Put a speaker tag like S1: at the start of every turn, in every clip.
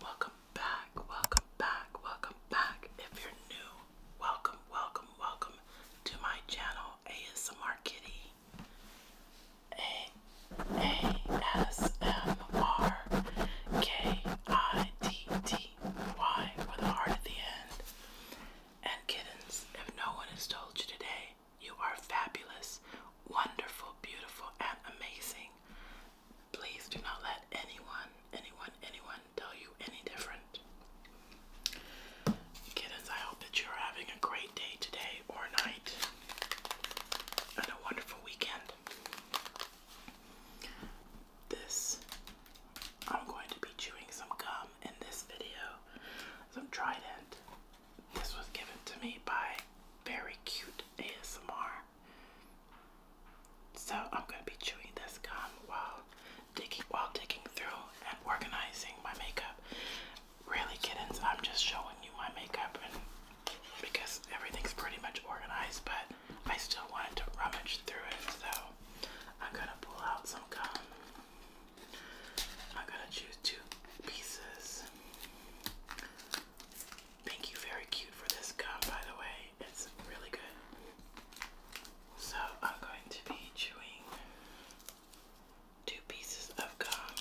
S1: Welcome back, welcome back, welcome back. If you're new, welcome, welcome, welcome to my channel, ASMR Kitty. A-A-S-M-R K-I-T-T-Y with a heart at the end. And kittens, if no one has told you today, you are fabulous, wonderful, beautiful, and amazing. Please do not let anyone, anyone, anyone tell you any different. Kittens, I hope that you're having a great day today or night and a wonderful weekend this. I'm going to be chewing some gum in this video. Some Trident. This was given to me by Very Cute ASMR. So I'm going to be chewing this gum while digging, while digging through and organizing my makeup. Really, kittens, I'm just showing you my makeup and because everything's pretty much organized, but I still wanted to rummage through it, so I'm gonna pull out some gum. I'm gonna choose two pieces. Thank you, very cute for this gum, by the way. It's really good. So I'm going to be chewing two pieces of gum.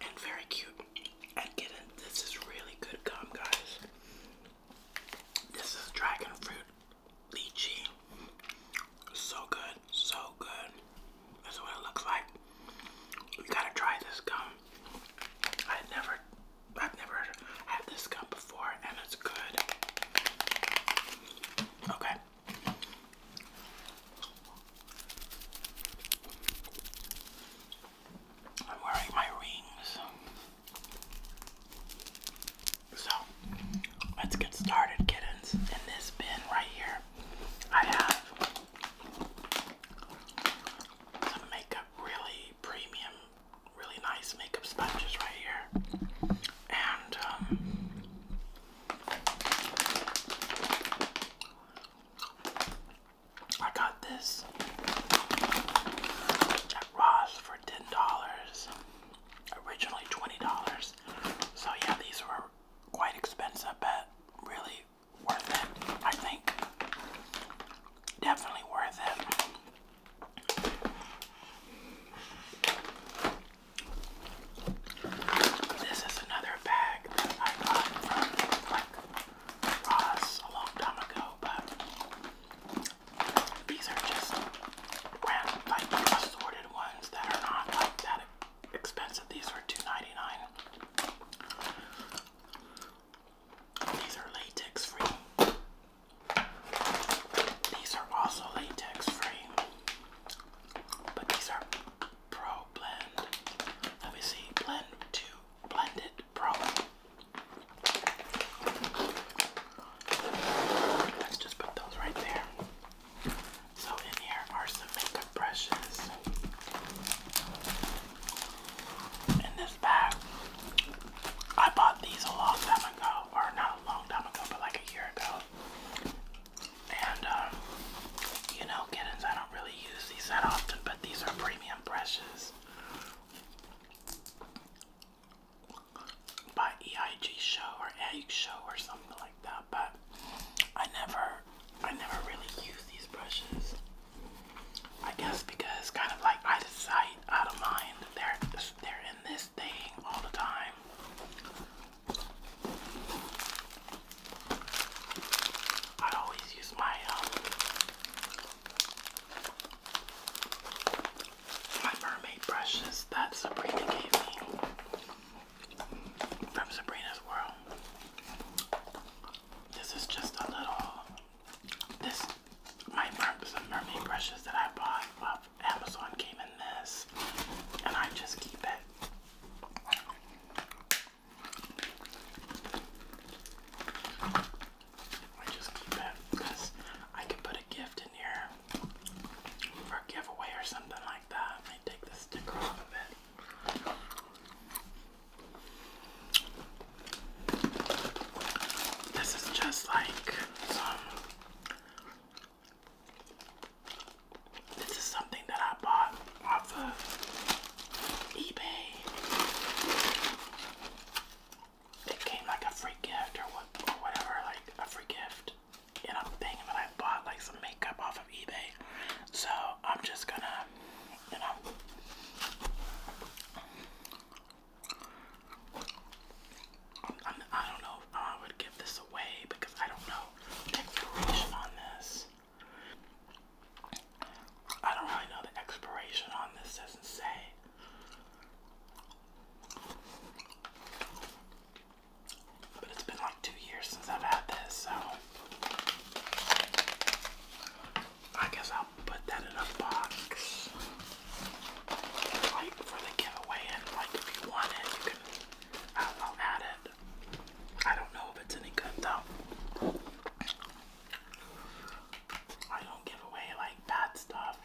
S1: And very cute. And get it, this is really good gum, guys. This is dragon fruit lychee so good, so good. That's what it looks like. You gotta try this gum. I never, I've never had this gum before, and it's good. Okay. I'm wearing my rings. So let's get started, kittens. In this bin right here, I have some makeup, really premium, really nice makeup sponges right here. And um, I got this at Ross for $10. Originally $20. So yeah, these were quite expensive, but really worth it, I think. Definitely worth it. This is another bag I got from like Ross a long time ago, but these are just random, like assorted ones that are not like that expensive. These were 2 These are latex free. These are also latex free. But these are Pro Blend. Let me see. Blend 2. Blended Pro. Let's just put those right there. So in here are some makeup brushes. In this bag, I bought these a long time ago, or not a long time ago, but like a year ago. And um, you know, kittens, I don't really use these that often, but these are premium brushes by EIG Show or Egg Show or something that, but I never I never really use these brushes. I guess because kind of like out of sight, out of mind, they're they're in this thing all the time. I always use my um, my mermaid brushes that Sabrina gave me from Sabrina's World. This is just a little, this, my some mermaid brushes that I bought off Amazon came in this, and I just keep it. I just keep it because I could put a gift in here for a giveaway or something like that. I take the sticker off of it. This is just like This is something that I bought off of eBay. It came like a free gift or what, or whatever, like a free gift and I'm that I bought like some makeup off of eBay. So I'm just gonna, you know. I'm, I do not know if I would give this away because I don't know expiration on this. I don't really know the expiration on this, doesn't say. But it's been like two years since I've had this, so I guess I'll put that in a box. Like for the giveaway, and like if you want it, you can. I'll, add it. I don't know if it's any good though. I don't give away like bad stuff.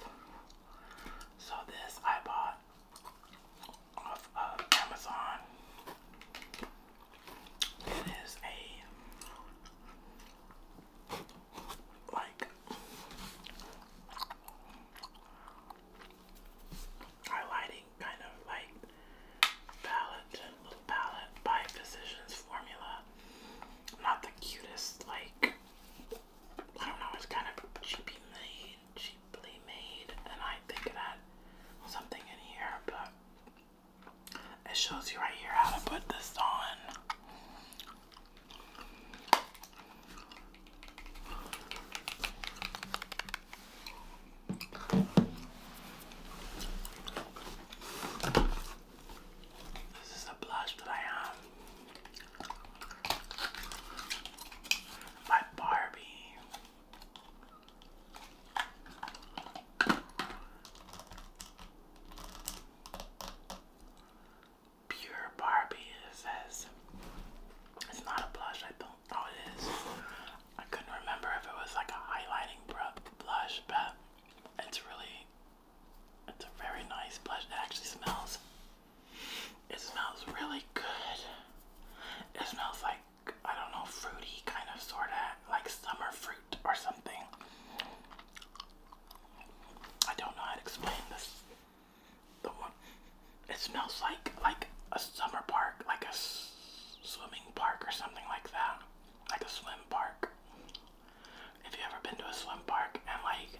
S1: So this I bought off of Amazon. It is a like highlighting kind of like palette, little palette by Physicians Formula. Not the cutest, like I don't know, it's kind of cheapy made, cheaply made, and I think it something in here, but it shows you right here how to put this on. This is the blush that I have by Barbie. Pure Barbie, it says. It's not a blush, I don't. Oh, it is. I couldn't remember if it was like a highlighting brush, blush, but it's really. It's a very nice blush. It actually smells. It smells really good. It smells like I don't know, fruity kind of sort of like summer fruit or something. I don't know how to explain this. The one, it smells like like a summer park, like a swimming park or something like that, like a swim park. If you ever been to a swim park and like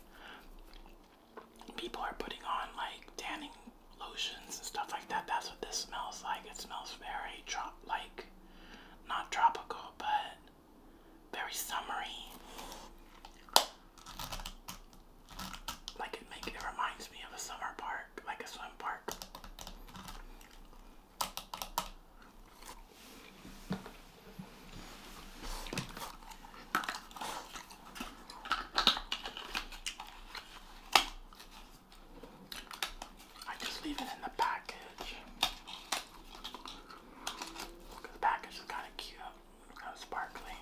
S1: people are putting on like tanning lotions and stuff like that. That's what this smells like. It smells very trop like not tropical, but very summery. Like it make it reminds me of a summer park, like a swim park. I just leave it in the package. the package is kind of cute, kind sparkly.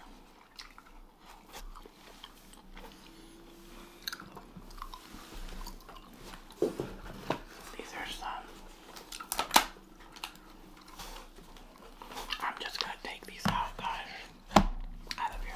S1: These are some. I'm just gonna take these out, guys, out of here.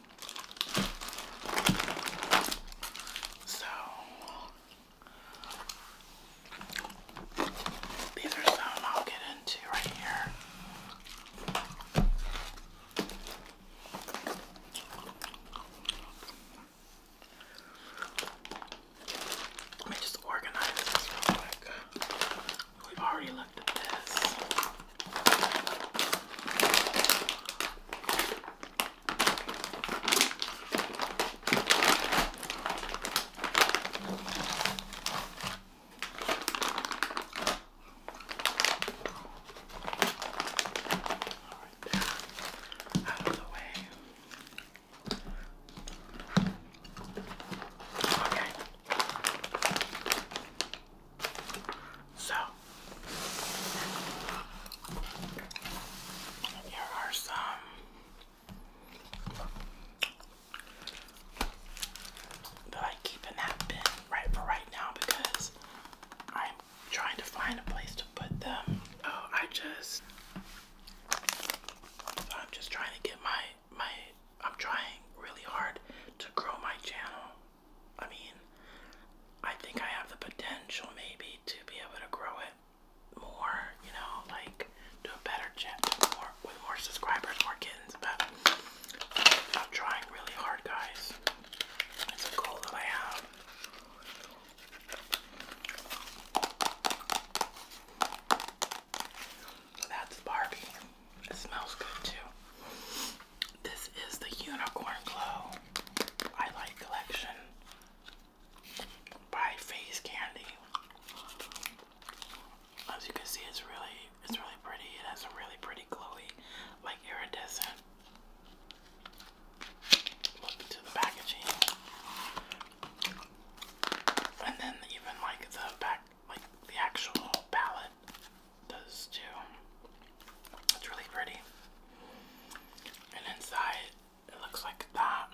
S1: So these are some I'll get into right here. Let me just organize this real quick. We've already looked at this. Right. Out of the way. Okay. So, here are some that I keep in that bin right for right now because I'm trying to find a place to put them. Oh, I just, I'm just trying to get my, my, I'm trying really hard to grow my channel I mean, I think I have the potential maybe to be able to grow it more, you know, like do a better job more with more subscribers, more kittens, but I'm trying really hard guys. It's a goal that I have. So that's Barbie. It smells good too. This is the Unicorn Glow I Collection by Face Candy. As you can see, it's really, it's really pretty. It has a really pretty glowy, like iridescent look to the packaging. And then even like the back, like the actual palette does too. It's really pretty. And inside, it looks like that.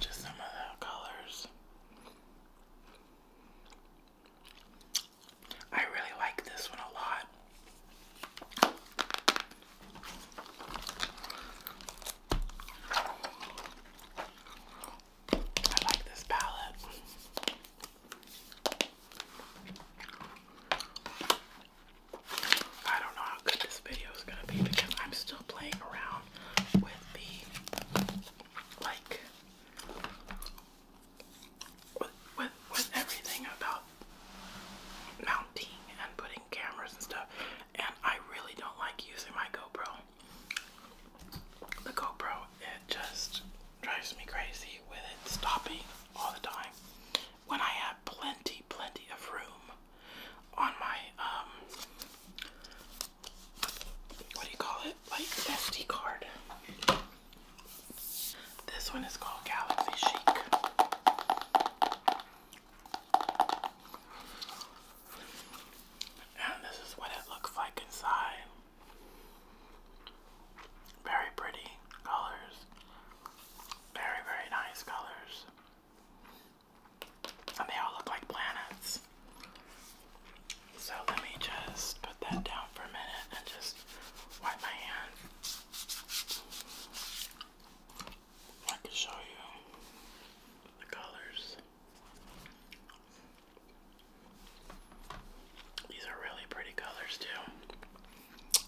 S1: just some of the colors. I really like this one a lot. I like this palette. I don't know how good this video is going to be because I'm still playing around with the like with, with, with everything about mounting and putting cameras and stuff, and I really don't like using my GoPro. The GoPro, it just drives me crazy with it stopping all the time. When I have plenty, plenty of room on my, um, what do you call it? Like SD card. This one is called Galaxy Chic. And this is what it looks like inside. Very pretty colors. Very, very nice colors. And they all look like planets. So let me just put that down for a minute and just just wipe my hand. I can show you the colors. These are really pretty colors too.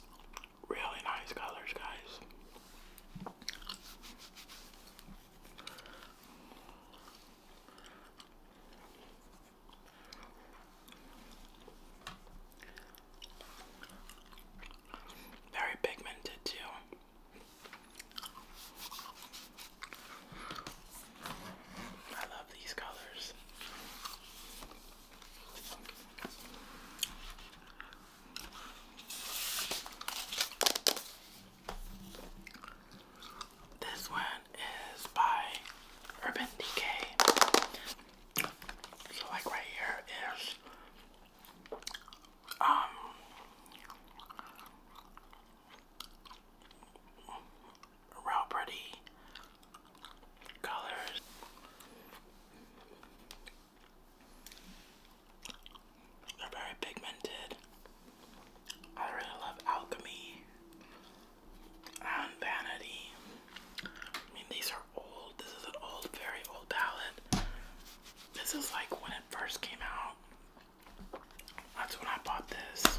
S1: Really nice colors, guys. Very pigmented too. I love these colors. This one is by Urban Decay. So like right here is um real pretty colors. They're very pigmented. I really love alchemy and vanity. I mean, these are old. This is an old, very old palette. This is like when it first came out. That's when I bought this.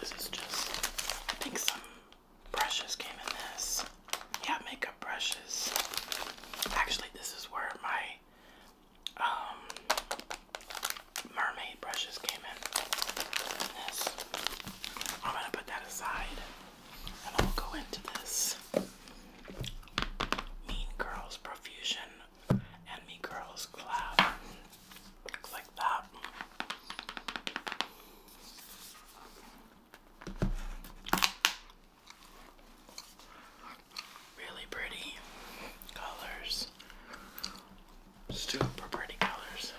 S1: This is just, I think some brushes came in this. Yeah, makeup brushes. Actually, this is where my um, mermaid brushes came in. I'm gonna put that aside and I'll go into this Mean Girls Profusion and Mean Girls Cloud. Looks like that. Really pretty colors. Super pretty colors.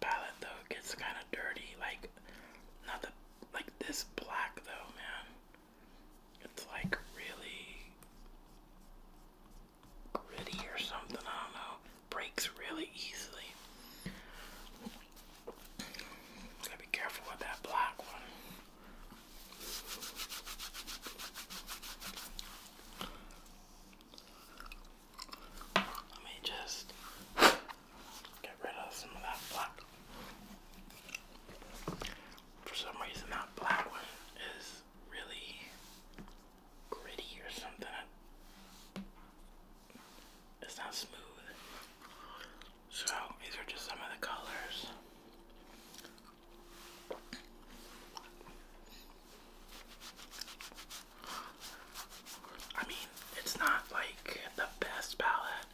S1: Palette though gets kind of dirty, like not the like this black though, man. It's like really gritty or something. I don't know. Breaks really easily. Gotta be careful with that black one. Let me just get rid of some of that black. For some reason, that black one is really gritty or something. It's not smooth. So these are just some of the colors. I mean, it's not like the best palette.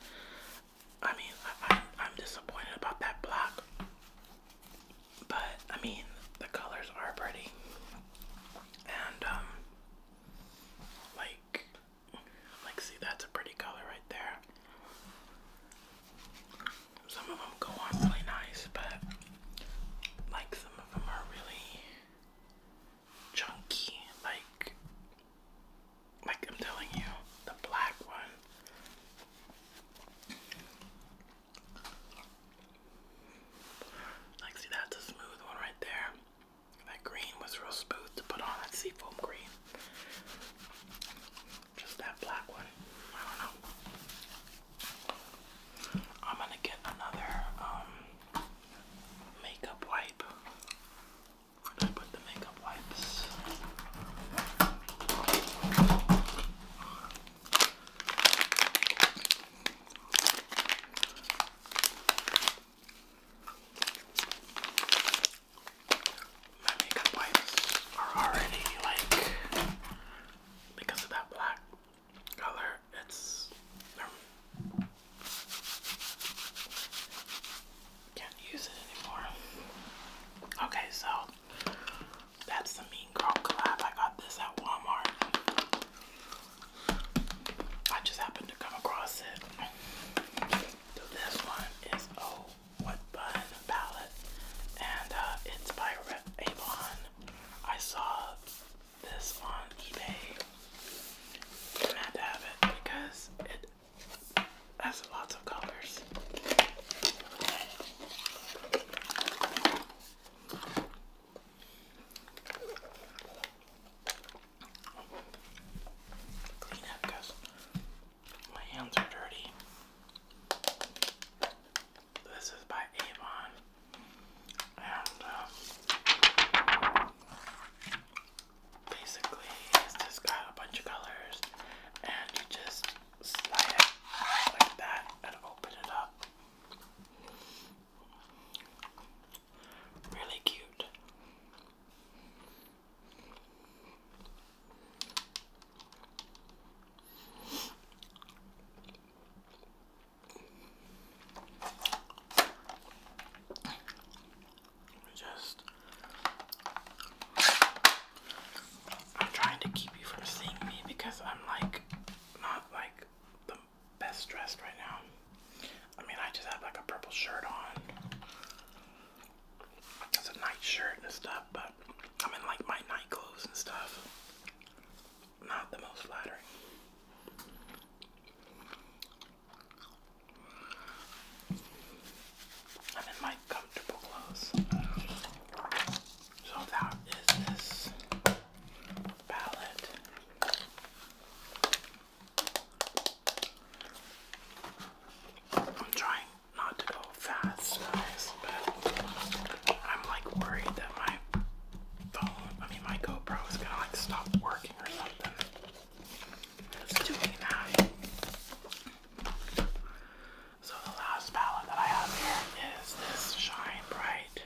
S1: I mean, I, am disappointed about that black. But I mean, the colors are pretty, and um, like, like see, that's a pretty color right there. Some of them go on really nice, but like some of them are really chunky. Like, like I'm telling you, the black one. Like, that's a smooth one right there. That green was real smooth to put on. That seafoam green. Just that black one. I don't know. I'm gonna get another um, makeup wipe. i put the makeup wipes my makeup wipes are already like because of that black color, it's can't use it anymore. Okay, so that's the Mean Girl collab. I got this at Walmart. I just happened to come across it. this one is Oh What Bun palette, and uh, it's by Avon. I saw this on eBay. And to have it because it has lots of colors because my hands are dirty. This is by Avon. And um, basically, it's just got a bunch of colors, and you just slide it like that and open it up. Really cute. Just I'm trying to keep you from seeing me because I'm like not like the best dressed right now. I mean, I just have like a purple shirt on. It's a night shirt and stuff, but I'm in like my night clothes and stuff. Not the most flattering. I'm in my comfortable clothes. So that is this palette. I'm trying not to go fast, guys, but I'm like worried that my phone, I mean my GoPro is gonna like stop working or something. It's doing that. So the last palette that I have here is this Shine Bright.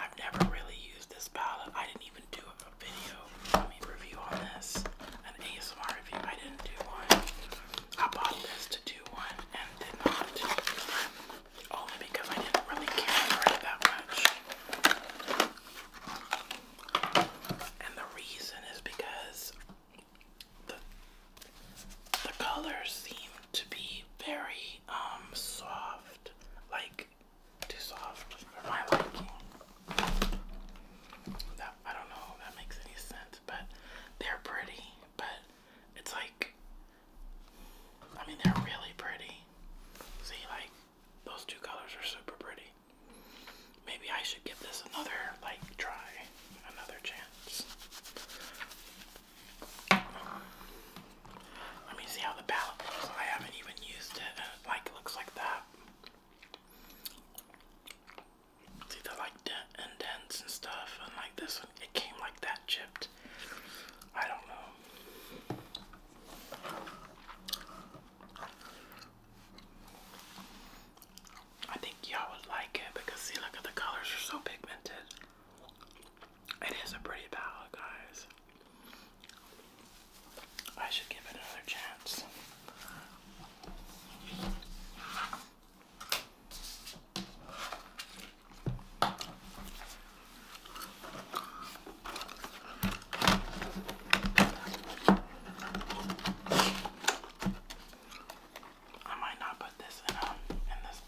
S1: I've never really used this palette. I didn't even do a video, I mean review on this. An ASMR review. I didn't do one. I bought this to do one and did not. Only because I didn't really care for it that much. And the reason is because the the colors seem to be very um soft, like too soft for my liking. I don't know if that makes any sense, but they're pretty, but it's like I mean they're really pretty. See like those two colors are super pretty. Maybe I should give this another like try, another chance. Let me see how the palette looks. I haven't even used it like looks like that. See the like dents and stuff and like this one it came like that chipped. I don't know. I think y'all would like it because see look at the colors are so pigmented. It is a pretty palette, guys. I should give it another chance. I might not put this in um in this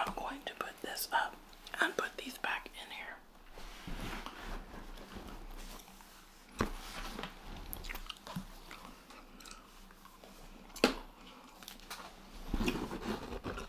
S1: I'm going to put this up and put these back in here.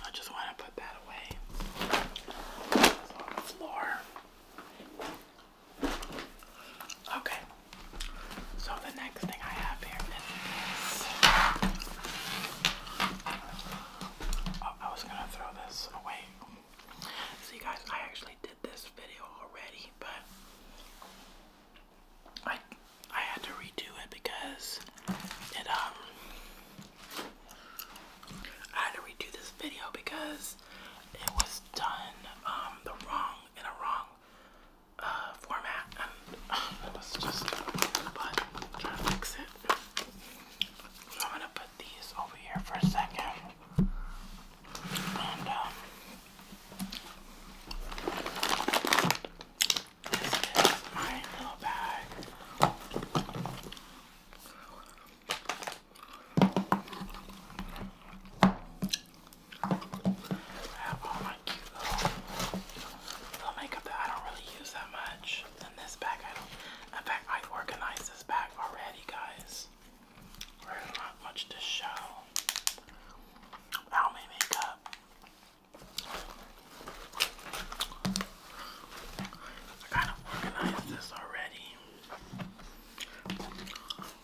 S1: I just want to put that away. It's on the floor. Okay. So the next thing I have here is oh, I was gonna throw this away. See guys, I actually did this video already, but I I had to redo it because it um I had to redo this video because it was done um the wrong in a wrong uh, format, and uh, just but I'm to fix it. I'm gonna put these over here for a second, and um, this is my little bag. I have all my cute little, makeup that I don't really use that much. In this bag, I don't. In fact, I have organized this bag already, guys. There's not much to show. How my makeup. I kind of organized this already. Comes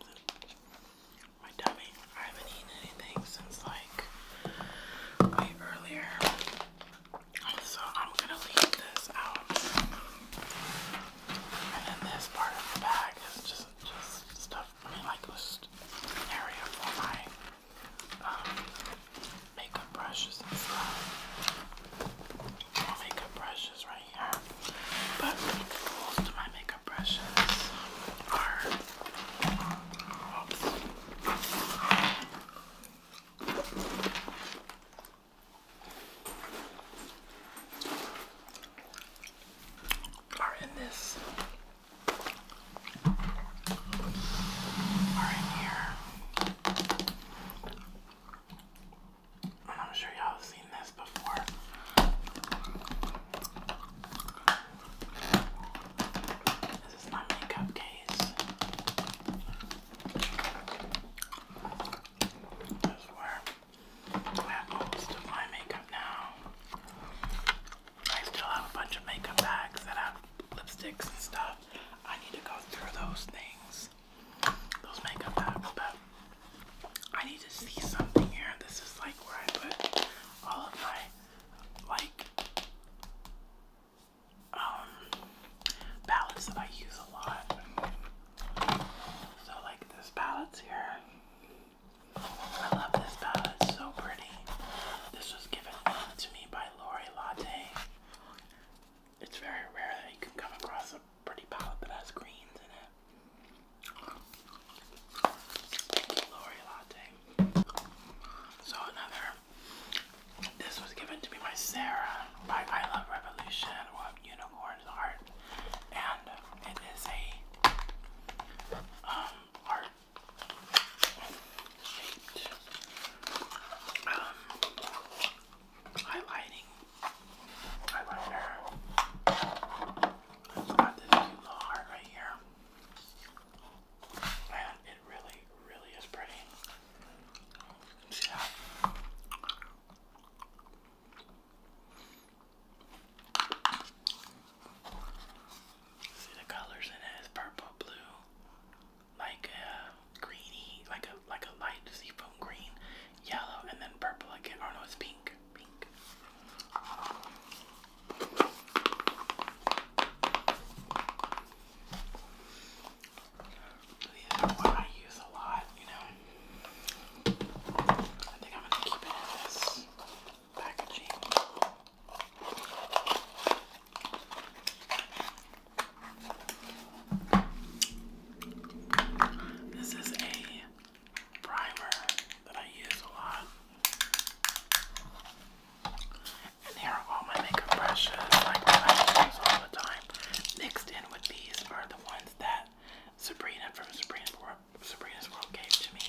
S1: in my tummy. I haven't eaten anything since like way earlier. So I'm gonna leave this out. And then this part of the bag is just just stuff really like this area for my um, makeup brushes and makeup brushes right here. But most of my makeup brushes are. Are in this are in here. And I'm sure y'all have seen this before. This is my makeup case. This is where I have most of my makeup now. I still have a bunch of makeup bags that have lipsticks and stuff. I need to go through those things, those makeup bags, but I need to see something here. This is like where I put all of my, like, um, palettes that I use a lot. So, like, there's palettes here. I love this palette, it's so pretty. This was given to me by Lori Latte. It's very rare that you can come across a pretty palette that has greens in it. Lori Latte. So another, this was given to me by Sarah by I Love Revolution, what Unicorns Art, and it is a um, art shaped um, highlighting eyeliner. It's got this cute little heart right here. And it really, really is pretty. See that? See the colors in it is purple, blue, like a greeny, like a like a light seafoam green, yellow, and then purple again. Oh no, it's pink, pink. These are what I use a lot, you know. I think I'm gonna keep it in this packaging. This is a primer that I use a lot. And here are all my makeup brushes, I use all the time. Mixed in with these are the ones that Sabrina from Sabrina's World gave to me.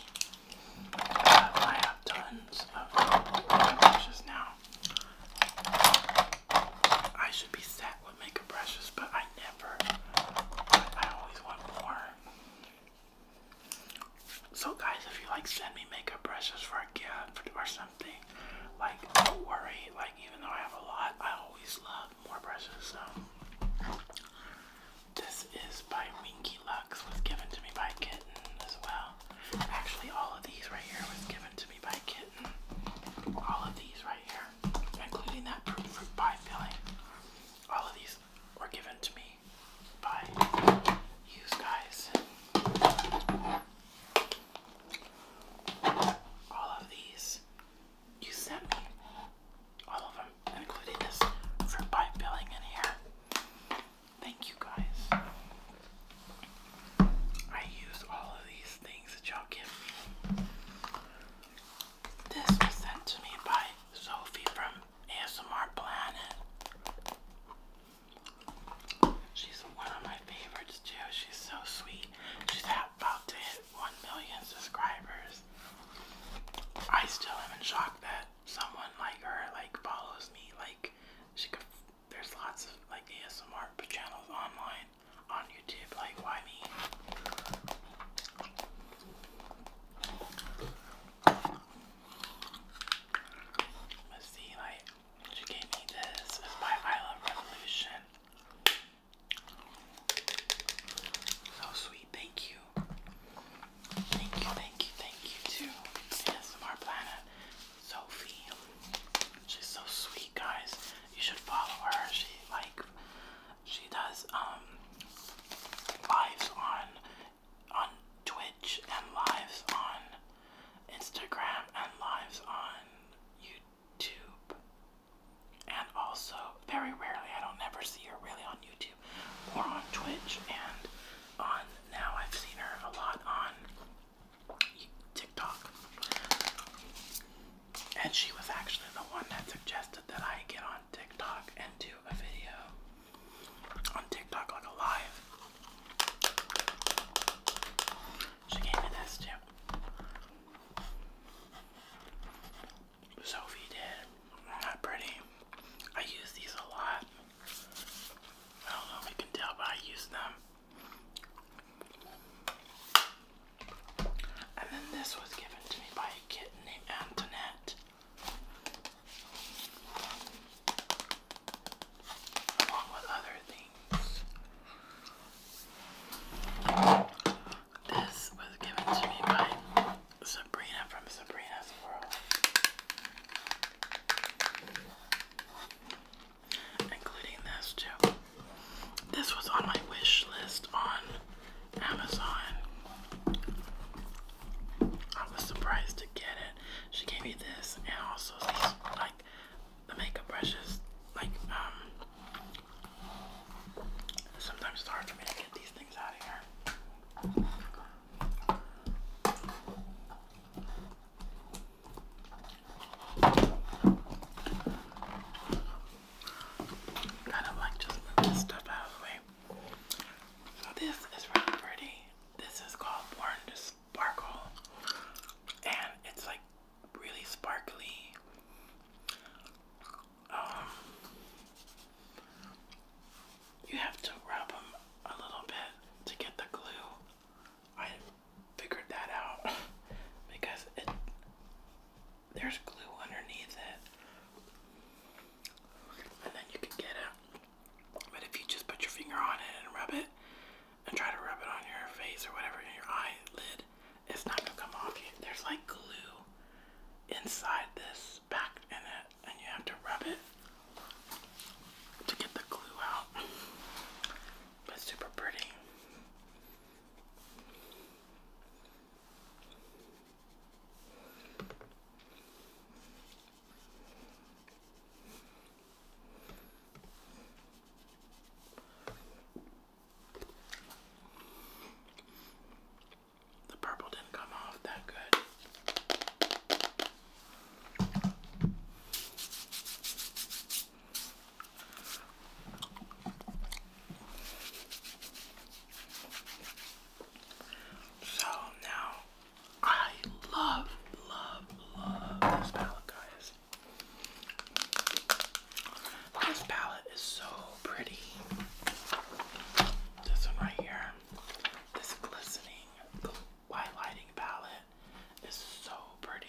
S1: I have tons of makeup brushes now. I should be set with makeup brushes, but I never. I always want more. So, guys, if you like, send me makeup brushes for a gift or something. Like, don't worry. Like, even though I have a lot, I always love more brushes. So, this is by Winky Lux, was given to me by Kitten as well. Actually, all of these right here was given to me by Kitten. All of these right here, including that fruit, fruit pie filling, all of these were given to me by you guys. All of these you sent me. All of them, including this fruit pie filling in here. Thank you guys. I used all of these things that y'all give me. This was sent to me by Sophie from ASMR Planet. She's one of my favorites too. She's so sweet. She's about to hit 1 million subscribers. I still am in shock someone like her like follows me like she could there's lots of like asmr channels online on youtube like why me let's see like she gave me this it's by i revolution so sweet thank you Thank you, thank you, thank you to ASMR Planet, Sophie. She's so sweet, guys. You should follow her. She like she does um, lives on on Twitch and lives on Instagram and lives on YouTube. And also, very rarely, I don't never see her really on YouTube. YouTube or on Twitch and on now I've seen her a lot on TikTok. And she was actually the one that suggested that I get on TikTok and do a video on TikTok like a live. She gave me this too. Sophie did. Not pretty. I use these a lot. I don't know if you can tell, but I use them. And then this was given to me by a kitten named Antoinette. Along with other things. This was given to me by Sabrina from Sabrina's World including this too. This was on my wish list on Amazon. I was surprised to get it. She gave me this and also these, like the makeup brushes. Like um, sometimes it's hard for me to get these things out of here. Kind of like just move this stuff out the way. So this is really pretty. This is called Born to Sparkle, and it's like really sparkly. Um, you have to rub them a little bit to get the glue. I figured that out because it there's glue underneath it. And then you can get it. But if you just put your finger on it and rub it and try to rub it on your face or whatever in your eyelid, it's not gonna come off you. There's like glue inside this back in it and you have to rub it to get the glue out. it's super pretty. The purple didn't come off that good. So now I love, love, love this palette, guys. This palette is so pretty. This one right here, this glistening, by lighting palette is so pretty.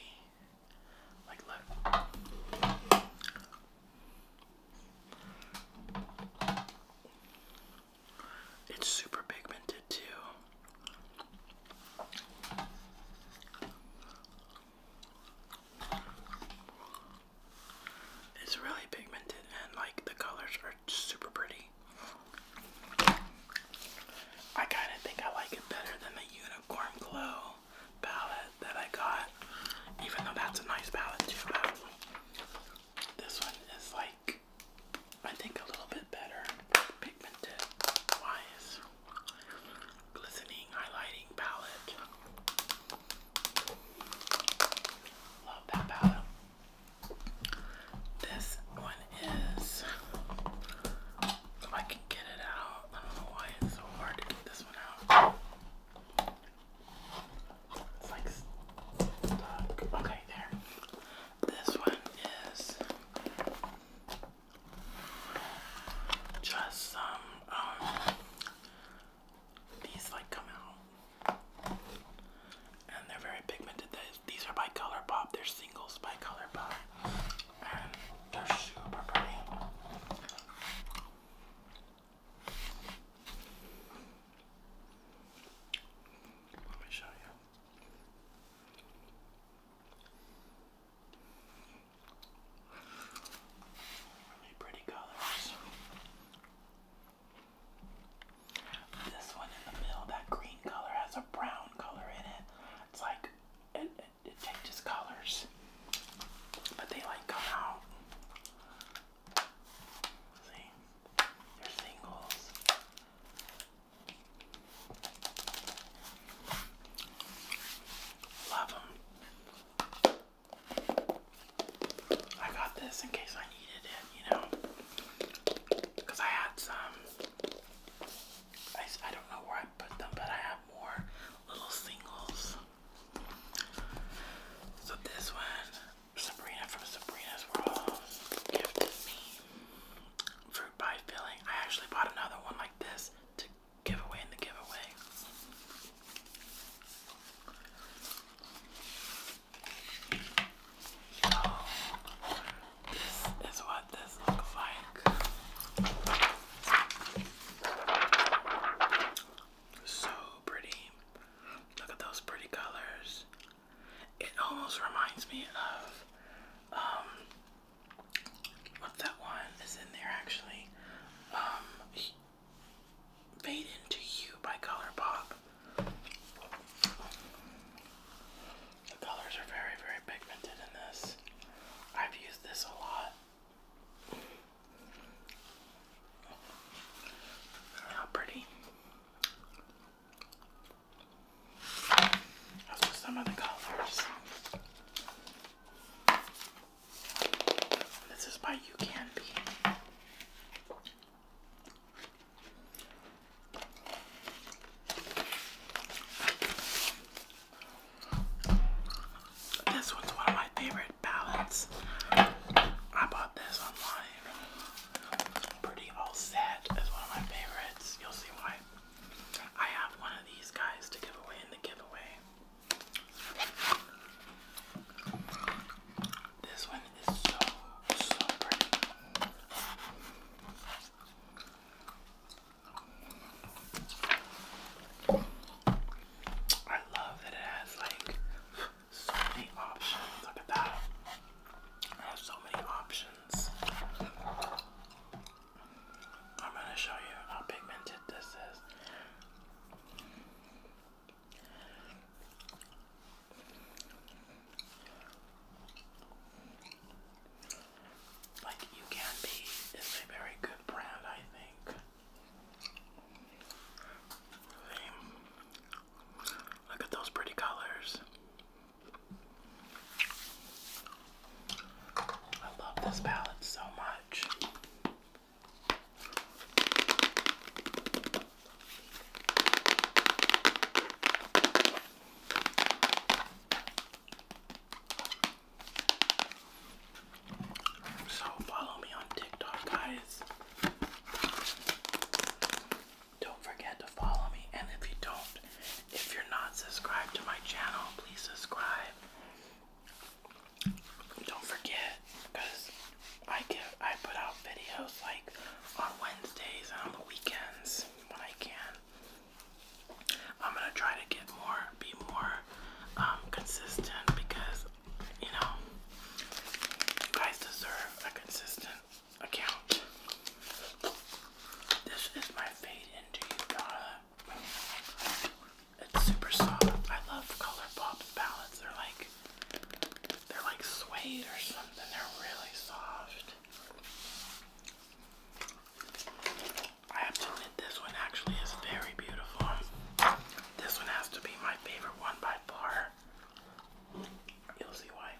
S1: Like, look. It's super pigmented too. It's really pigmented and like the colors are super pretty. I kind of think I like it better than the Unicorn Glow palette that I got, even though that's a nice palette this one is like, I think, a little bit better pigmented wise. Glistening highlighting palette. Love that palette. This one is, if I can get it out, I don't know why it's so hard to get this one out. It's like stuck. Okay, there. This one is just um, these like come out. And they're very pigmented these are by Color They're singles by Color and they're super pretty. Let me show you. Really pretty colors. This one in the middle, that green color has a brown color in it. It's like it, it, changes colors, but they like come out. See, they're singles. Love them. I got this in case I needed it, you know, because I had some I, I don't know where I put them, but I have more little singles. So this one, Sabrina from Sabrina's World gifted me fruit pie filling. I actually bought another one like this to give away in the giveaway. So, this is what this looks like. So pretty. Look at those pretty colors. It almost reminds me of um what that one is in there actually. Um Fade into You by Colour Pop. The colors are very, very pigmented in this. I've used this a lot. How pretty. some of the colors. This is by You Can Be. This one's one of my favorite palettes. I bought this online. Pretty All Set is one of my favorites. You'll see why. I have one of these guys to give away in the giveaway. This one is so, so pretty. I love that it has like so many options. Look at that. I have so many options. I'm gonna show you how pigmented this is. Like You Can Be is a very good brand, I think. Look at those pretty colors. I love this palette so much. So follow me on TikTok, guys. Don't forget to follow me. And if you don't, if you're not subscribed to my channel, please subscribe. Don't forget, because I give I put out videos like on Wednesdays and on the weekends when I can. I'm gonna try to get more, be more um, consistent because you know you guys deserve a consistent account. This is my fade into you product. It's super soft. I love ColourPop palettes. They're like they're like suede or something. They're really soft. I have to admit, this one actually is very beautiful. This one has to be my favorite one by far. You'll see why.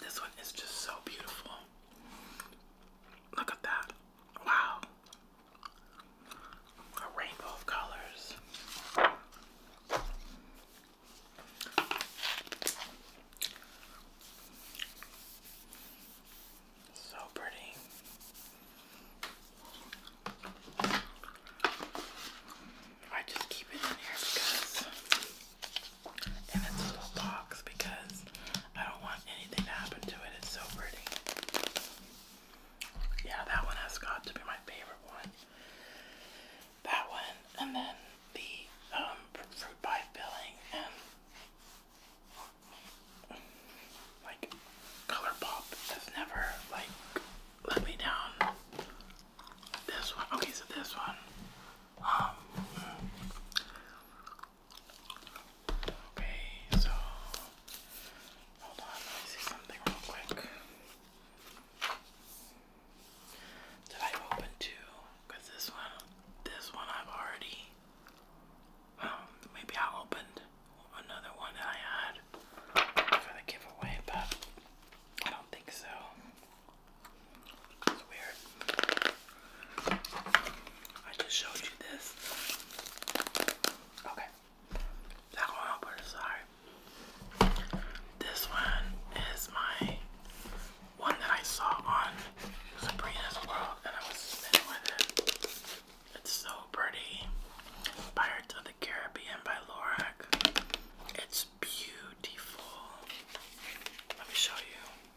S1: This one is just so beautiful. Look at that. Wow. A rainbow of colors. So pretty. I just keep it in here because, and it's little box because I don't want anything happen to it. It's so pretty. Yeah, that one has got to be my favorite one. That one, and then the um, fruit pie filling, and like ColourPop has never like let me down. This one, okay, so this one, um, Okay, so hold on, let me see something real quick. Did I open two? Cause this one, this one I've already. Um, maybe I opened another one that I had for the giveaway, but I don't think so. It's weird. I just showed you this. Okay. That one I'll put This one is my one that I saw on Sabrina's World and I was with it. It's so pretty. Pirates of the Caribbean by Lorac. It's beautiful. Let me show you.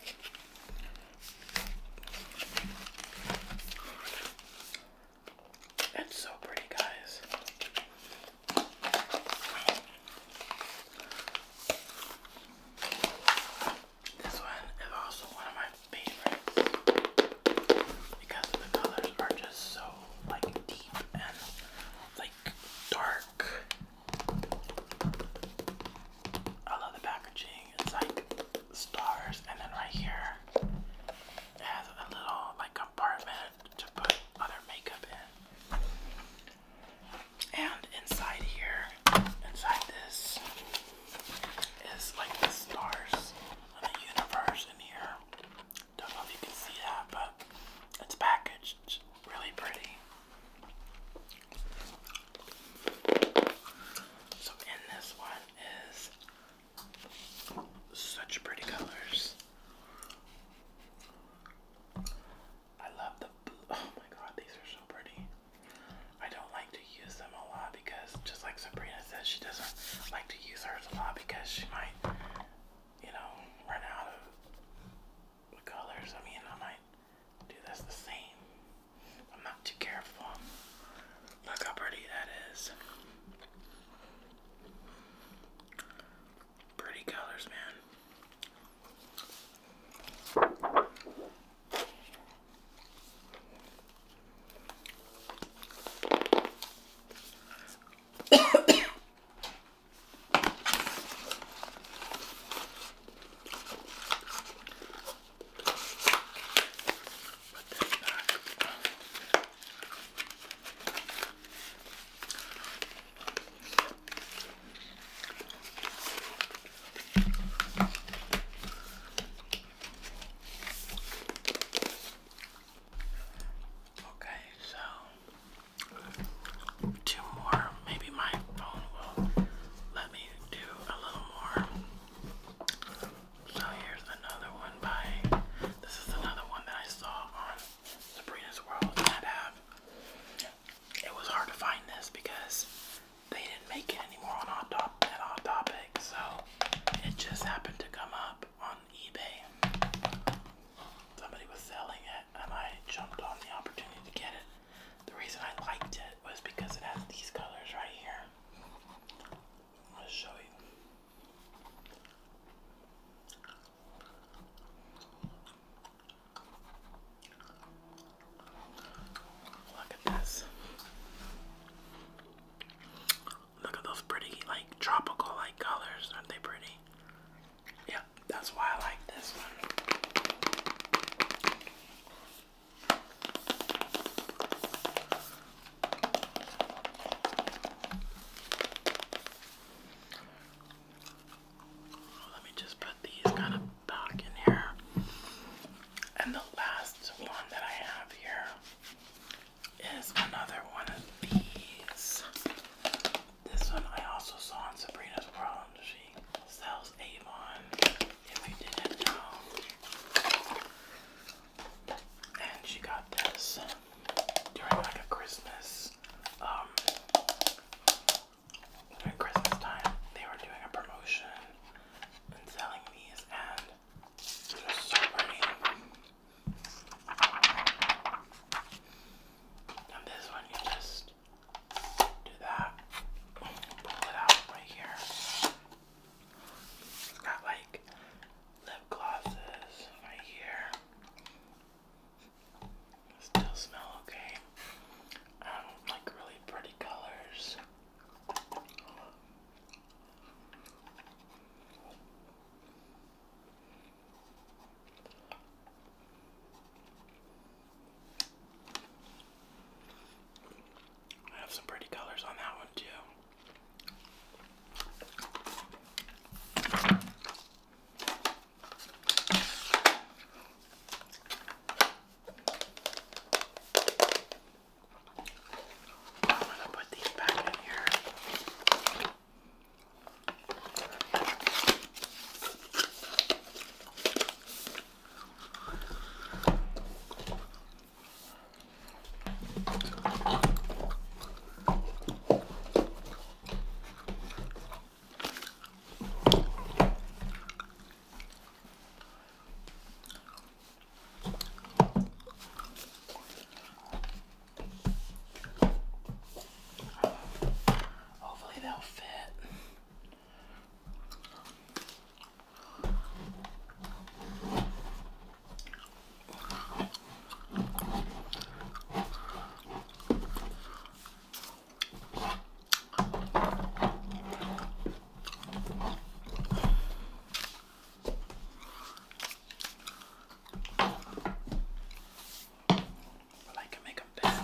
S1: It's so pretty, guys. This one is also one of my favorites because the colors are just so like deep and like dark. I love the packaging it's like stars, and then right here it has a little like compartment to put other makeup in. And inside here, inside this, is like the stars and the universe in here. Don't know if you can see that, but it's packaged really pretty. So in this one is such pretty colors. I love the Oh my god, these are so pretty. I don't like to use them a lot because, just like Sabrina says, she doesn't like to use hers a lot because she might, you know, run out of colors. I mean, I might do this the same I'm not too careful. Look how pretty that is. Pretty colors, man. Put that Okay, so two more. Maybe my phone will let me do a little more. So here's another one by, this is another one that I saw on Sabrina's World that it was hard to find this because they didn't make it anymore on Hot, Top, at Hot Topic, so it just happened to come up on eBay. Somebody was selling it and I jumped on the opportunity to get it. The reason I liked it was because it has these colors right here. I'll show you. Look at this. Look at those pretty, like tropical like colors. Aren't they pretty? Yep, that's why I like this one. Let me just put these kind of back in here. And the last one that I have here is another one of these. This one I also saw in Sabrina's World. She sells Avon if you didn't know. And she got this during like a Christmas, um, Christmas time, they were doing a promotion and selling these, and there's so many. And this one, you just do that, pull it out right here, it's got like lip glosses right here. Still smell okay. Um, like really pretty colors. I have some pretty colors on that one too. I'm gonna put these back in here. Hopefully they'll fit. But I can make them bad.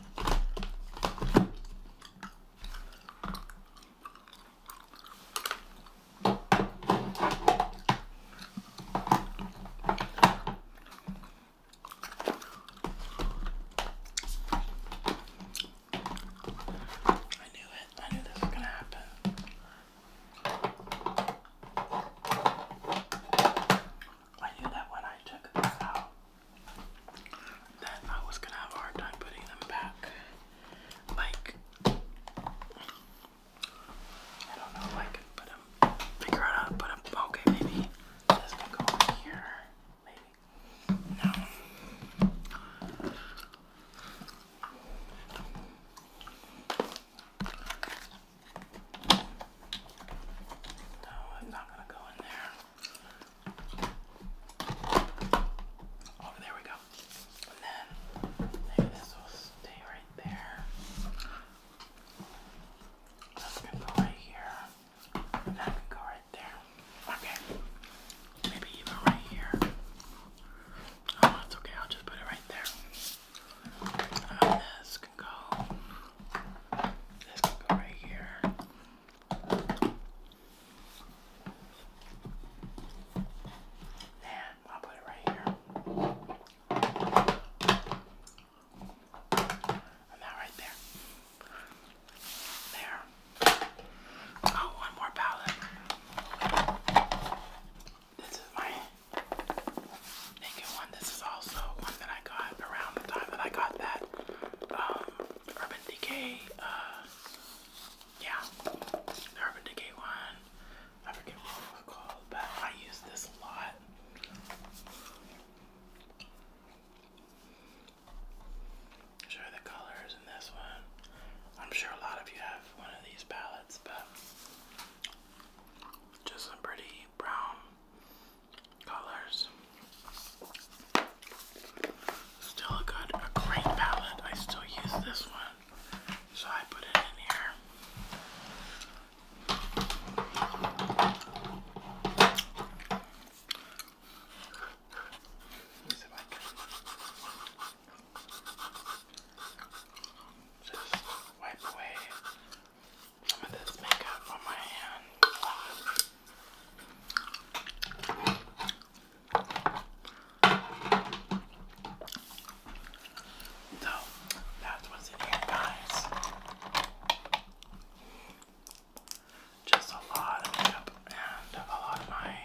S1: I knew it. I knew this was going to happen. I knew that when I took this out that I was gonna have a hard time putting them back. Like I don't know if put them figure out put them okay maybe this can go here. Maybe. No. No, it's not gonna go in there. Oh, there we go. And then maybe this will stay right there. This can go right here. And that can go right there. Okay. Maybe even right here. Oh, that's okay. I'll just put it right there. Um, this can go. This can go right here. And I'll put it right here. And that right there. There. Oh, one more palette. This is my naked one. This is also one that I got around the time that I got that um, Urban Decay, uh, yeah, Urban Decay one. I forget what it was called, but I use this a lot. Sure, the colors in this one. I'm sure a lot of you have one of these palettes, but just some pretty brown colors. Still a a great palette. I still use this one, so I put it in here. just wipe away some of this makeup on my hand. So that was it here, guys. Just a lot of makeup and a lot of my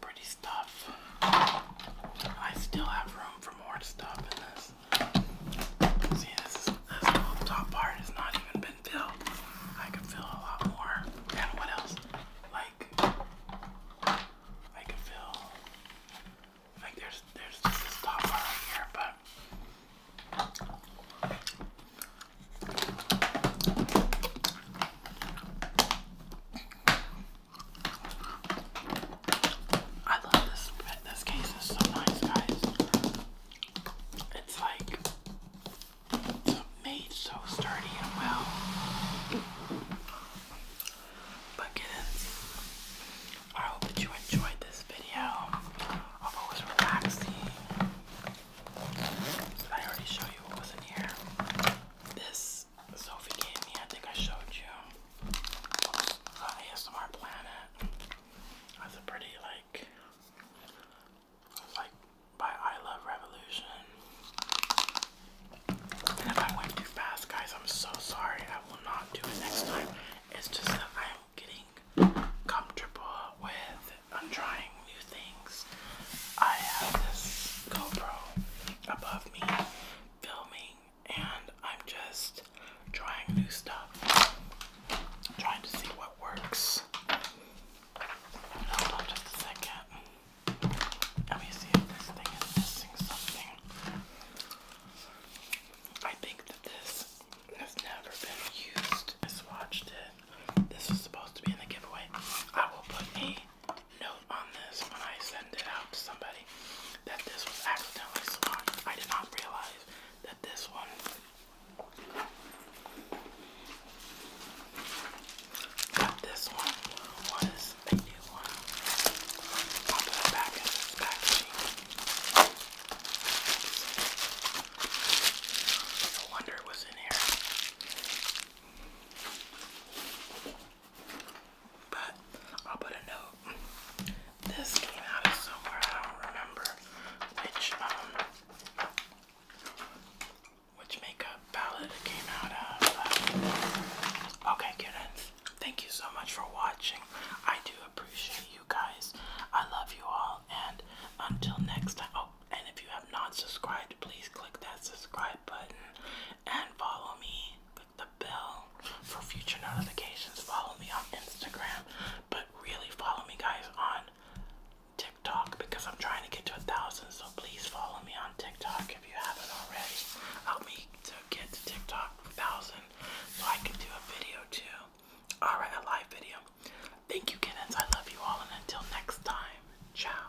S1: pretty stuff. I still have room for more stuff in this. See, this, top part has not even been I can feel a lot more. And what else? Like I can feel like there's there's just a top right here, but I love this. This case is so nice, guys. It's like made so sturdy and well. But kittens, I hope that you enjoyed this video. hope it was relaxing. I already show you what was in here? This Sophie gave me, I think I showed you. The ASMR Planet. That's a pretty like like by I Love Revolution. And if I went too fast, guys, I'm so sorry. I will not do it next time. It's just that I'm getting comfortable with trying new things. I have this GoPro above me filming, and I'm just trying new stuff, trying to see what works. Hold on just a second. Let me see if this thing is missing something. I think that this has never been used. I swatched it. This was supposed to be in the giveaway. I will put a note on this when I send it out to somebody that this was accidentally swatched. I did not realize that this one Got this one was a new one. I'll put back in this packaging. No wonder it was in here. But I'll put a note. This came out of somewhere, I don't remember which um which makeup palette came out of. okay, kittens. Thank you so much for watching. I do appreciate you guys. I love you all. And until next time. Oh, and if you have not subscribed, please click that subscribe button and follow me. Click the bell for future notifications. Follow me on Instagram. But really follow me, guys, on TikTok because I'm trying to get to a thousand. So please follow me on TikTok if you haven't already. Help me to get to TikTok thousand so I can do a video too. Alright, a live video. Thank you, kittens. I love you all, and until next time, ciao.